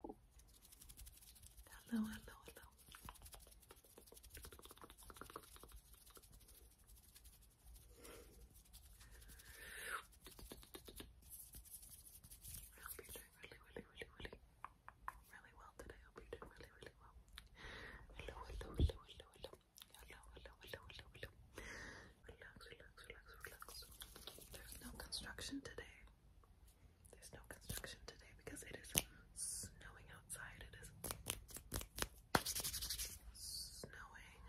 Hello, hello, hello. I hope you're doing really, really, really, really, really well today. I hope you're doing really, really well. Hello, hello, hello, hello, hello. Hello, hello, hello, hello, hello. Relax, relax, relax, relax. There's no construction today. There's no construction today because it is snowing outside. It is snowing.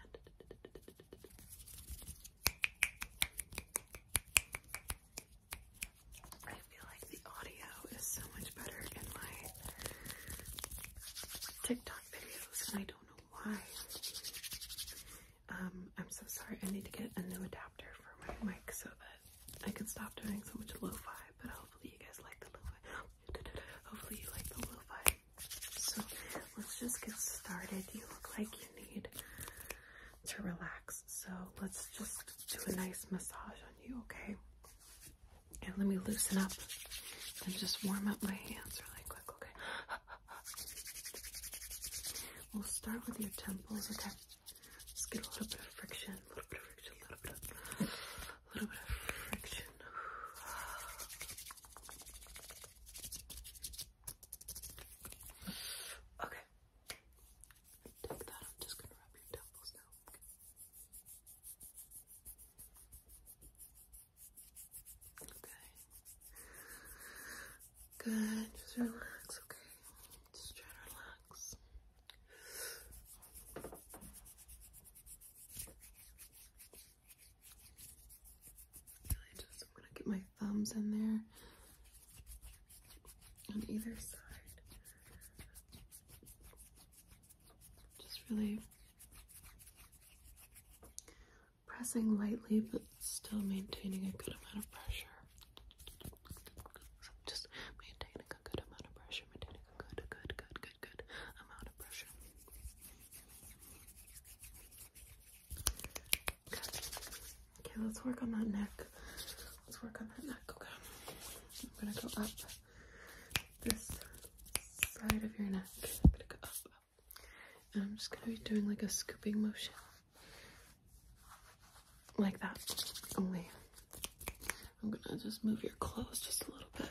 I feel like the audio is so much better in my TikTok videos, and I don't know why. Um, I'm so sorry. I need to get a new adapter for my mic so that I can stop doing so much lo-fi. But hopefully you guys like the lo-fi. Hopefully you like the lo So let's just get started. You look like you need to relax. So let's just do a nice massage on you, okay? And let me loosen up and just warm up my hands really quick, okay? We'll start with your temples, okay? Just get a little bit of friction, a little bit of friction, a little bit of, friction. Okay. Take that. I'm just gonna rub your temples now. Okay. Good, just relax, okay? Just try to relax. Really just I'm gonna get my thumbs in there on either side. Just really pressing lightly but still maintaining a good amount of pressure. just maintaining a good amount of pressure, maintaining a good, good, good, good, good amount of pressure. Okay. let's work on that neck. Let's work on that neck, okay? I'm gonna go up this side of your neck. I'm gonna go up, I'm just gonna be doing like a scooping motion. Like that. Only I'm gonna just move your clothes just a little bit.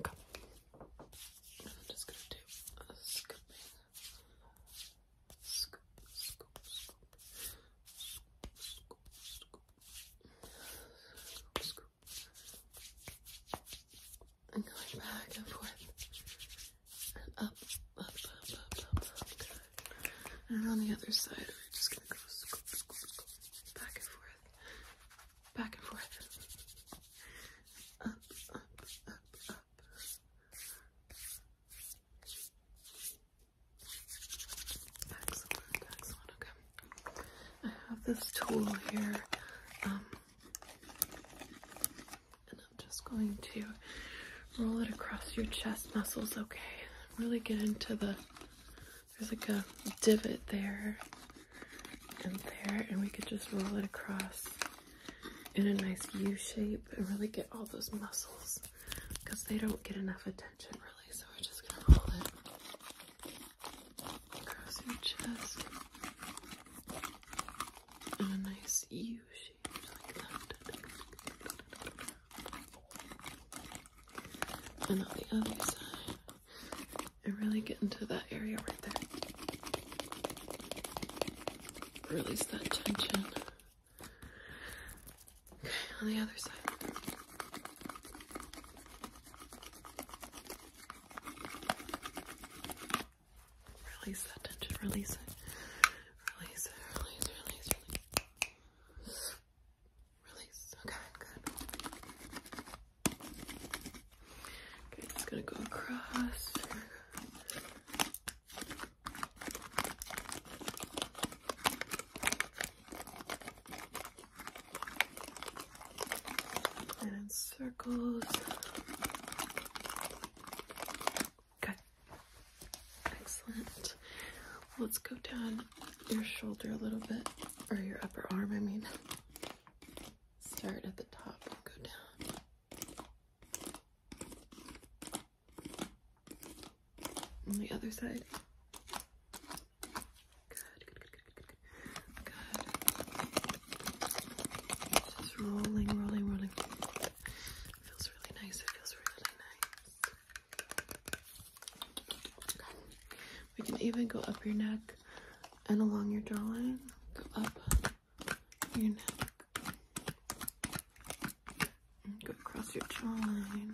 Okay. I'm just gonna do a scooping. Scoop, scoop, scoop. Scoop, scoop, scoop. Scoop, scoop. And going back and forth and up, up, up, up, up, up. And on the other side, we're just gonna go scoop, scoop, scoop, back and forth, back and forth, up, up, up, up. Excellent, excellent. Okay, I have this tool here. Um, and I'm just going to roll it across your chest muscles, okay? Really get into the, there's like a divot there and there, and we could just roll it across in a nice U shape and really get all those muscles because they don't get enough attention really. So we're just gonna roll it across your chest in a nice U shape like that. And on the other side, and really get into that area right there. Release that tension. Okay, on the other side. Release that tension. Release it. Release it. Release, release, release. Release. Okay, Okay, just gonna go across and in circles. Okay, excellent. Let's go down your shoulder a little bit, or your upper arm, I mean. Start at the top and go down. On the other side. Good, good, good, good, good, it feels really nice. It feels really nice. Okay. We can even go up your neck and along your jawline. Go up your neck. And go across your jawline.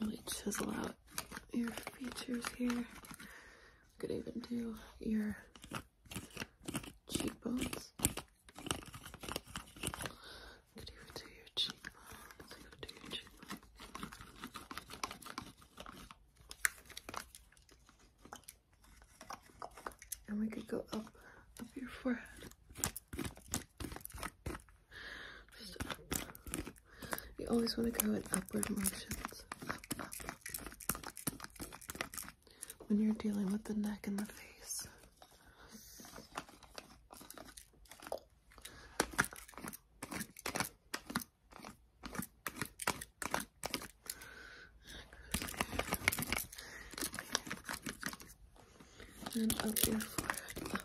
Really chisel out your features here. I could even do your cheekbones. could even do your cheekbones. I could do your cheekbones. And we could go up, up your forehead. You always want to go in upward motions. When you're dealing with the neck and the face. And up your forehead,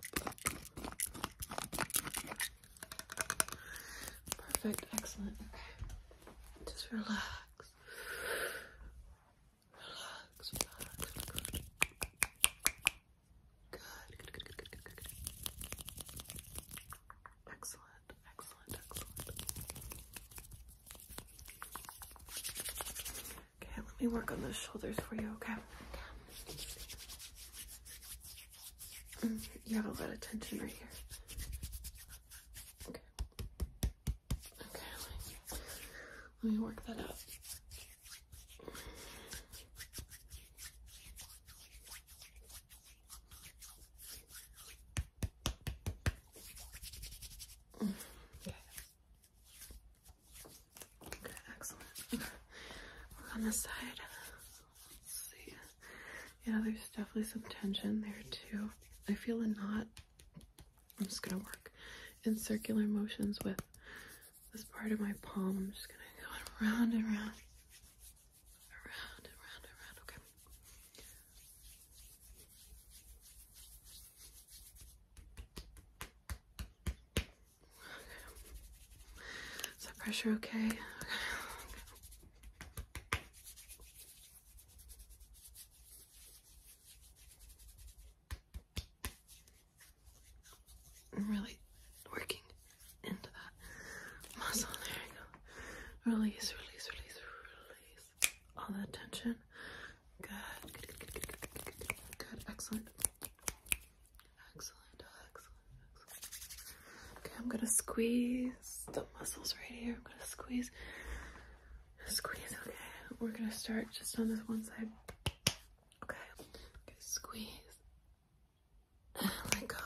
Perfect, excellent. Okay. Just relax. Relax, Good. Good, good, good, good, good, good, Excellent, excellent, excellent. Okay, let me work on those shoulders for you, okay? Mm, you have a lot of tension right here. Okay. Okay, let me, let me work that out. Okay. Mm. Okay, excellent. Look on this side. see. Yeah, there's definitely some tension there too. I feel a knot. I'm just gonna work in circular motions with this part of my palm. I'm just gonna go around and around. Around and around and around. Okay. Is that pressure okay? I'm really working into that muscle. There you go. Release, release, release, release. All that tension. Good, good, good, good, good, good, good, good. excellent. Excellent, Okay, I'm gonna squeeze the muscles right here. I'm gonna squeeze, squeeze, okay. We're gonna start just on this one side. Okay, squeeze. let go.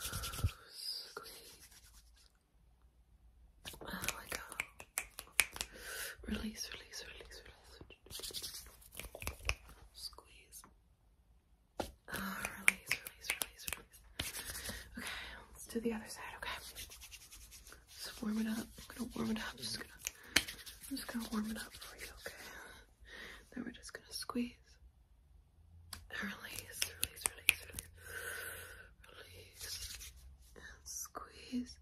Squeeze. let go. Release, release, release, Squeeze. Oh, release, release, release, release. Okay, let's do the other side. Okay, just warm it up. I'm gonna warm it up. Just gonna, I'm just gonna warm it up for you. Okay. Then we're just gonna squeeze. Release, release, release, release, release, squeeze.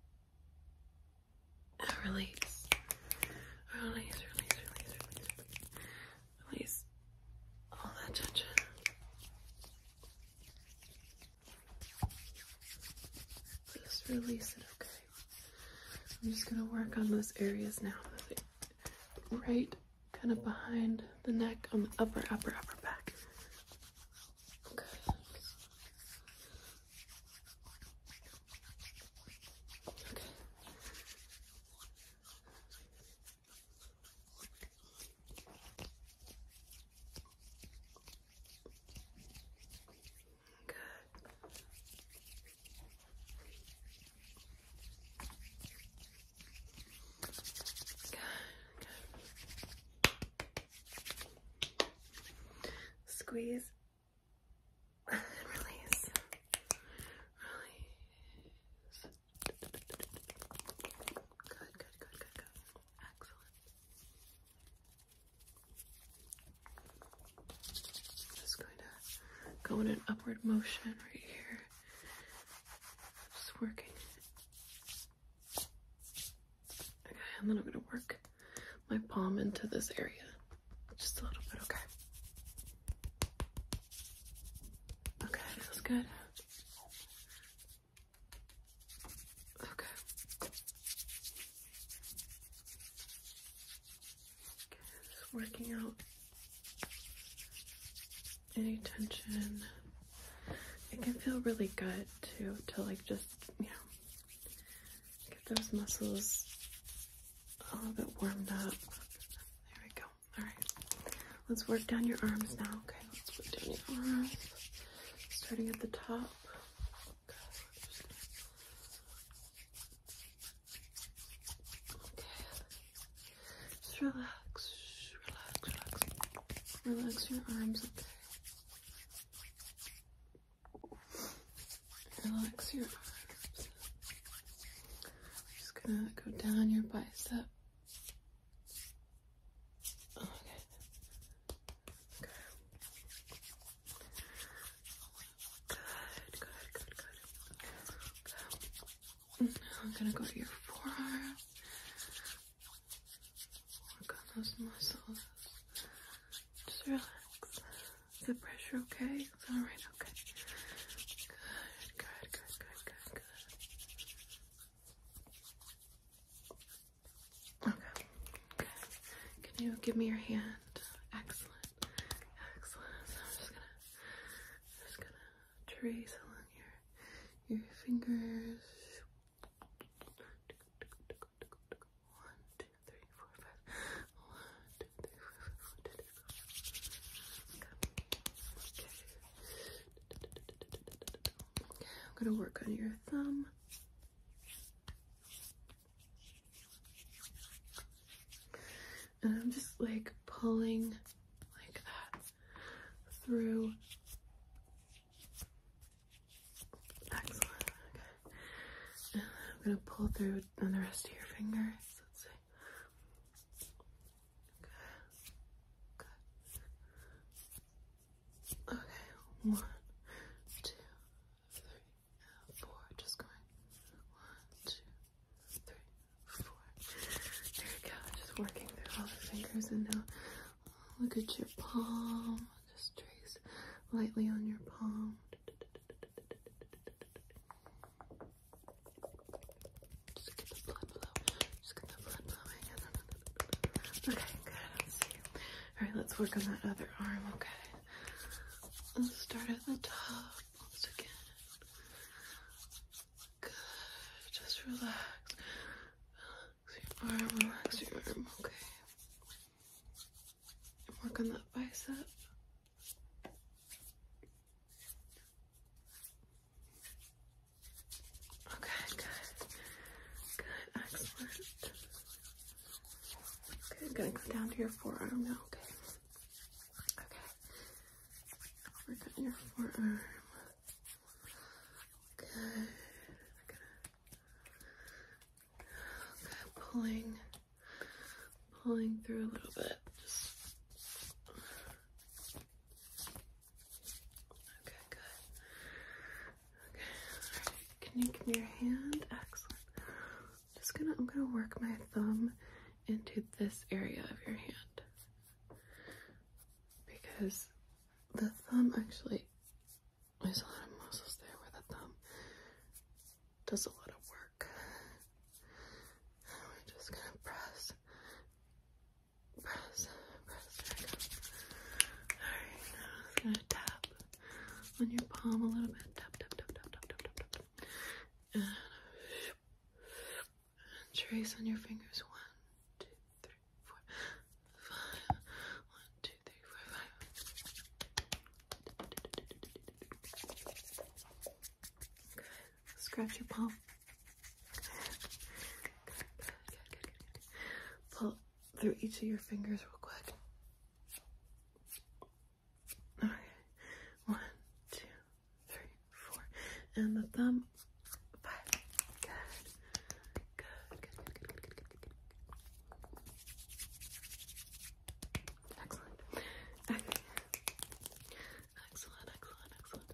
Release, release, release, release, release. Release all that tension. Just release it, okay? I'm just gonna work on those areas now. Right kind of behind the neck on the upper, upper, upper back. Good. Okay. Good. Good. Good. Squeeze and release. Release. Good, good, good, good, good. Excellent. Just going to go in an upward motion right here. Just working Okay, and then I'm going to work my palm into this area just a little bit, okay? Okay, that feels good. Okay. Okay, just working out any tension. It can feel really good too to like just yeah, get those muscles a little bit warmed up. There we go. All right, let's work down your arms now. Okay, let's work down your arms, starting at the top. Okay, just relax, relax, relax, relax your arms. Okay. Relax your arms. I'm just gonna go down your bicep. Okay. Good. Good, good, good, good. good. Now I'm gonna go to your forearm. Work oh on those muscles. Just relax. the pressure okay? alright, okay. Good, good, good, good, good, good. Okay, good. Can you give me your hand? Excellent. Excellent. I'm just gonna just gonna trace along your your fingers. Okay. I'm gonna work on your thumb. And I'm just like pulling like that through. Excellent. Okay. I'm gonna pull through on the rest of your fingers. Let's see. Okay. Good. Okay. One, two, three, four. Just going. One, two, three, four. There we go. Just working through all the fingers and now Look at your palm. Just trace lightly on your palm. Just get the blood flow. Just get the blood flowing. Okay, good. see. All right, let's work on that other arm. Okay. Let's start at the top once again. Good. Just relax your arm, relax your arm, okay. And work on that bicep. Okay, good. Good, excellent. Okay, I'm gonna go down to your forearm now, okay? Okay. Work on your forearm. Okay, okay, pulling, pulling through a little bit. Just, okay, good. Okay, Can you give me your hand? Excellent. just gonna, I'm gonna work my thumb into this area of your hand because the thumb actually, there's a lot of muscles there where the thumb does a lot of work. we're just gonna press, press, press. Alright, now I'm gonna tap on your palm a little bit. Tap, tap, tap, tap, tap, tap, tap, tap trace on your fingers. One, two, three, four, five. One, two, three, four, five. Scratch your palm. Pull through each of your fingers real quick. Okay. One, two, three, four, and the thumb, five. Good. Good, good, good, good, good, good, good, good. Excellent. Excellent, excellent, excellent.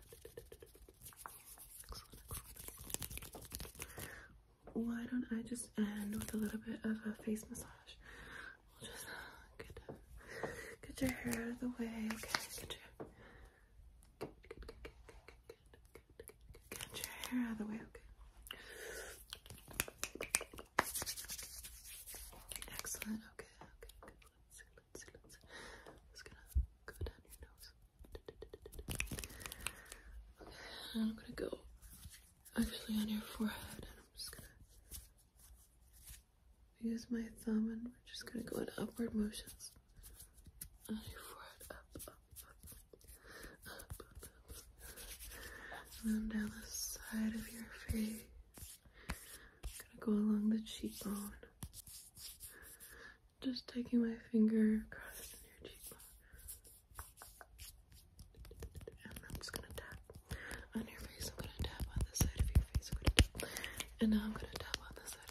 Excellent, Why don't I just end with a little bit of a face massage? We'll just get, your hair out of the way. Okay, Get your hair out of the way, okay. Excellent, okay, okay, good. Let's I'm just gonna go down your nose. Okay, I'm gonna go actually on your forehead and I'm just gonna use my thumb and we're just gonna go in upward motions. I forward, up, up, up, up, up, and down the side of your face. Gonna go along the cheekbone. Just taking my finger across your cheekbone. And I'm just gonna tap on your face. I'm gonna tap on the side of your face. I'm gonna tap. And now I'm gonna tap on the side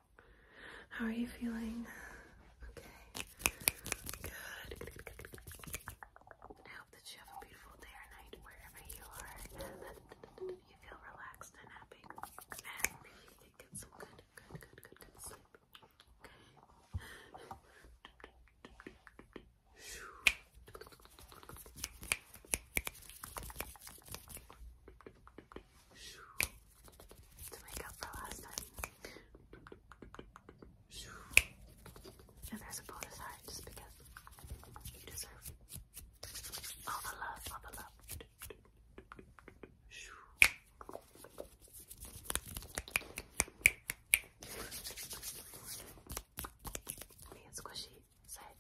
How are you feeling? Okay. Good. I hope that you have a beautiful day or night wherever you are. That you feel relaxed and happy. And that you get some good, good, good, good, good sleep. Okay to make up for last time. And there's a bonus heart just because you deserve all the love, all the love. Me and Squishy said